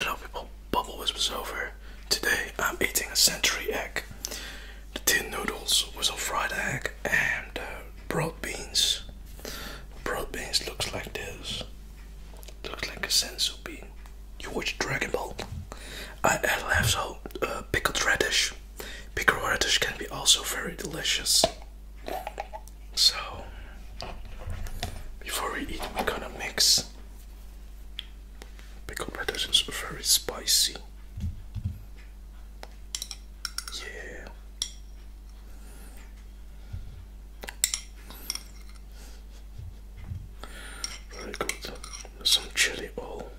Hello people, Bubble was over. Today I'm eating a century egg. The tin noodles with some fried egg and uh, broad beans. Broad beans looks like this. Looks like a sensu bean. You watch Dragon Ball. I add so uh, pickled radish. Pickled radish can be also very delicious. So before we eat we're gonna mix Pickled lettuce is very spicy. Yeah. Very good. Some chili oil.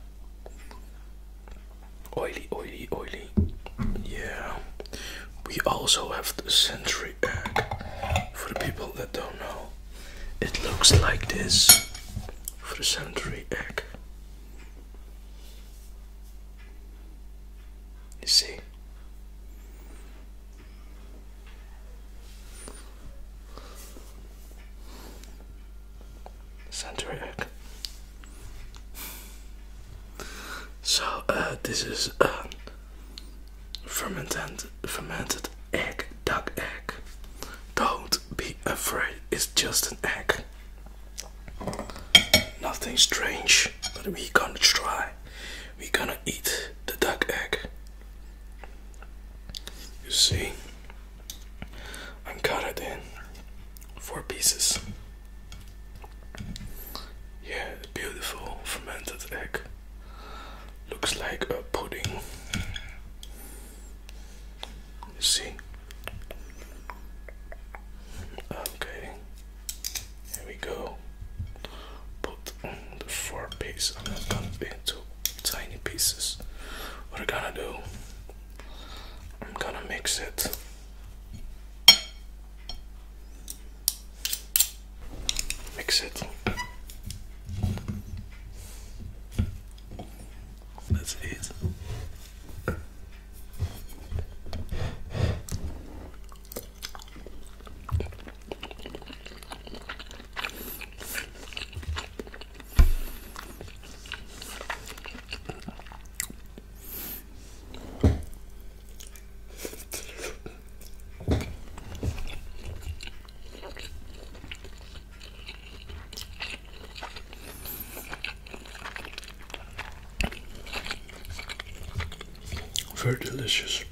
Oily, oily, oily. Yeah. We also have the century egg for the people that don't know. It looks like this for the century egg. You see? Center So uh, this is um, fermented fermented egg duck egg don't be afraid it's just an egg nothing strange but we gonna try we gonna eat the duck egg you see i cut it in four pieces yeah beautiful fermented egg looks like a pudding. You see? Okay, here we go. Put the four pieces. I'm gonna be into tiny pieces. What I'm gonna do? I'm gonna mix it mix it. That's it. Very delicious.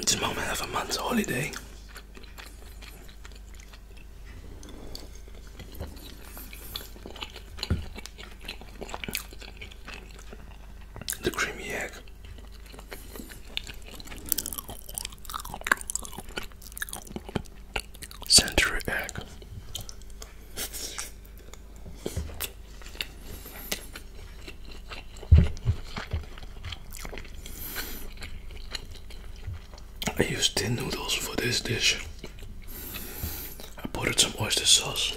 It's a moment of a month's holiday. The creamy egg century egg. I used tin noodles for this dish. I bought some oyster sauce.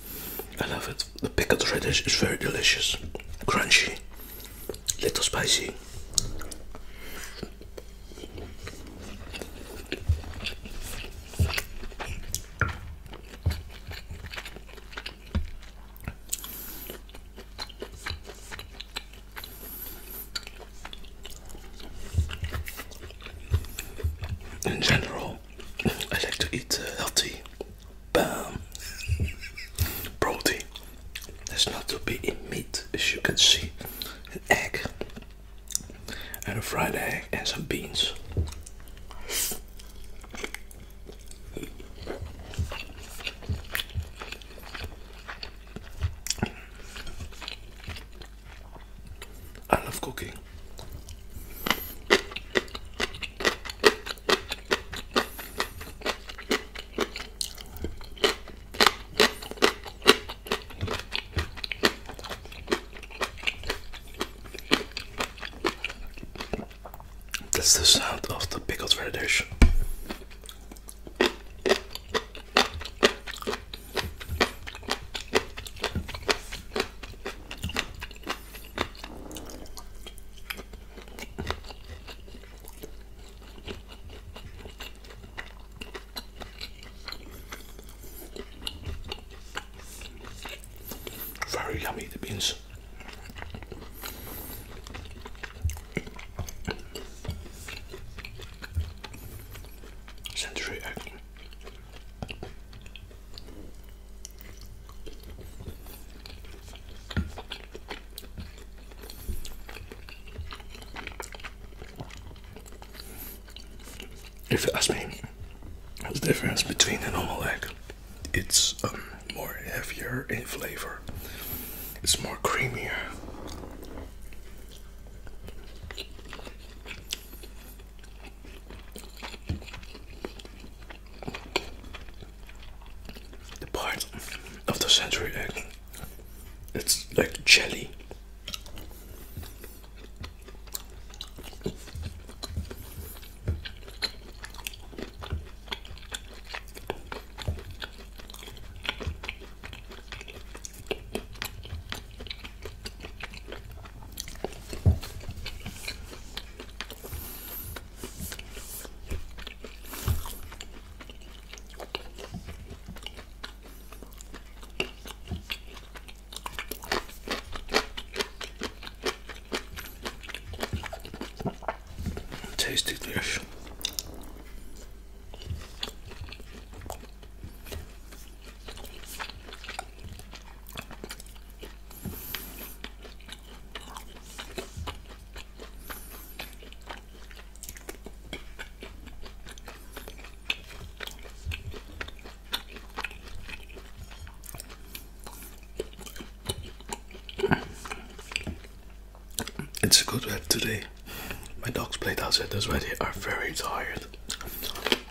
I love it. The pickled radish is very delicious, crunchy, little spicy. In general, I like to eat uh, healthy. Bam! Protein. That's not to be in meat, as you can see. An egg, and a fried egg, and some beans. I love cooking. That's the sound of the pickled radish. Very yummy the beans. Century egg. If you ask me, what's the difference between a normal egg? It's um, more heavier in flavor. It's more creamier. The part of the century egg, eh, it's like jelly. Tasty dish. It's a good wet today. My dogs played outside this already are very tired.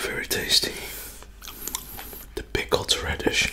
Very tasty. The pickled radish.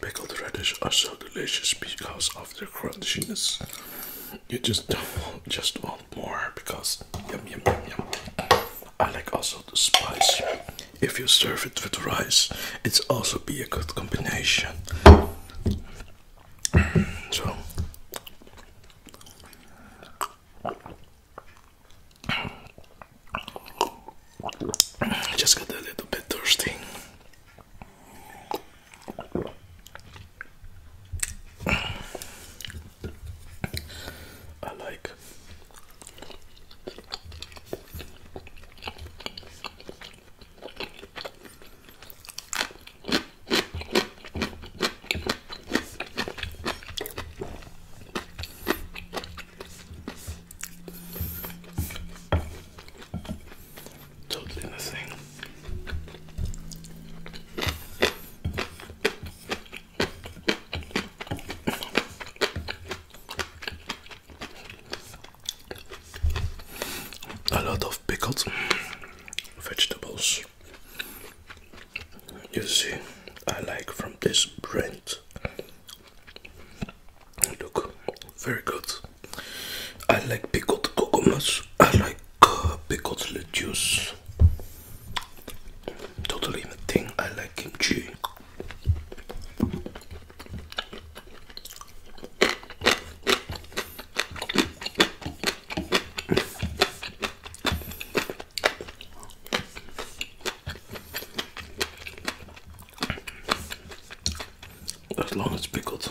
Pickled radish are so delicious because of their crunchiness you just don't just want more because yum yum yum I like also the spice. If you serve it with rice, it's also be a good combination. So I just got a little bit thirsty. I like Totally the same. A lot of pickled vegetables. You see, I like from this brand. Look, very good. I like pickled cucumbers. I like the juice Totally the thing I like kimchi. As long as pickled.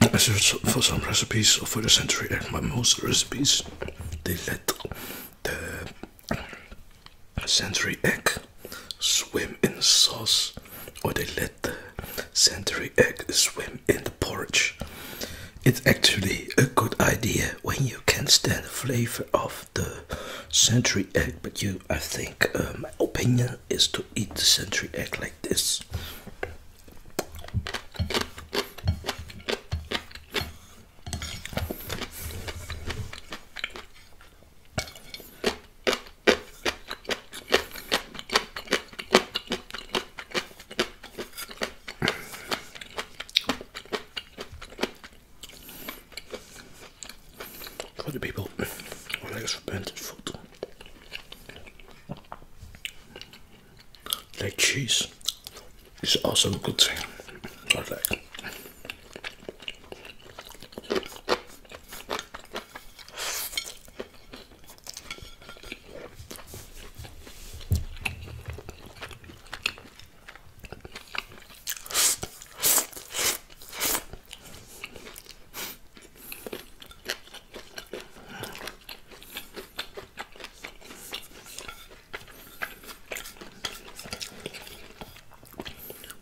I for some recipes for the century, egg, my most recipes they let the century egg swim in sauce, or they let the century egg swim in the porridge. It's actually a good idea when you can stand the flavor of the century egg, but you, I think, um, my opinion is to eat the century egg like this. Other people, I was fermented food. Like cheese is also a good thing. I like.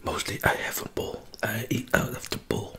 Mostly I have a bowl. I eat out of the bowl.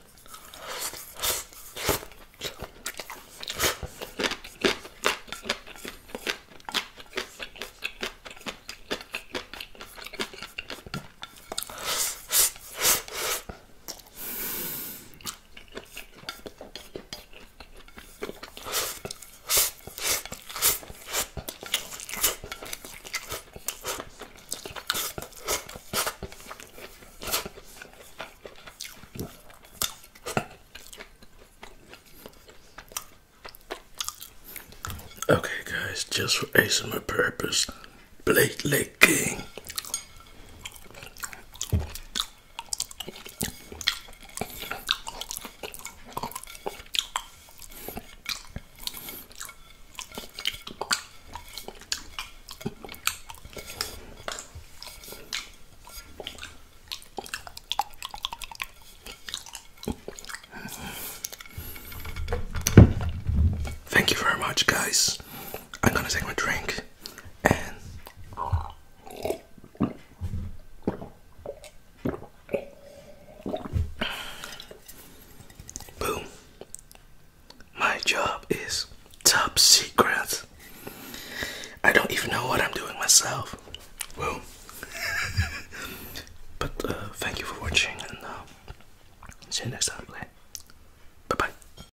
Okay, guys, just for ASMR purpose, Blade Leg King Thank you very much, guys. I'm gonna take my drink and boom. My job is top secret. I don't even know what I'm doing myself. Well, but uh, thank you for watching and uh, see you next time. Bye bye.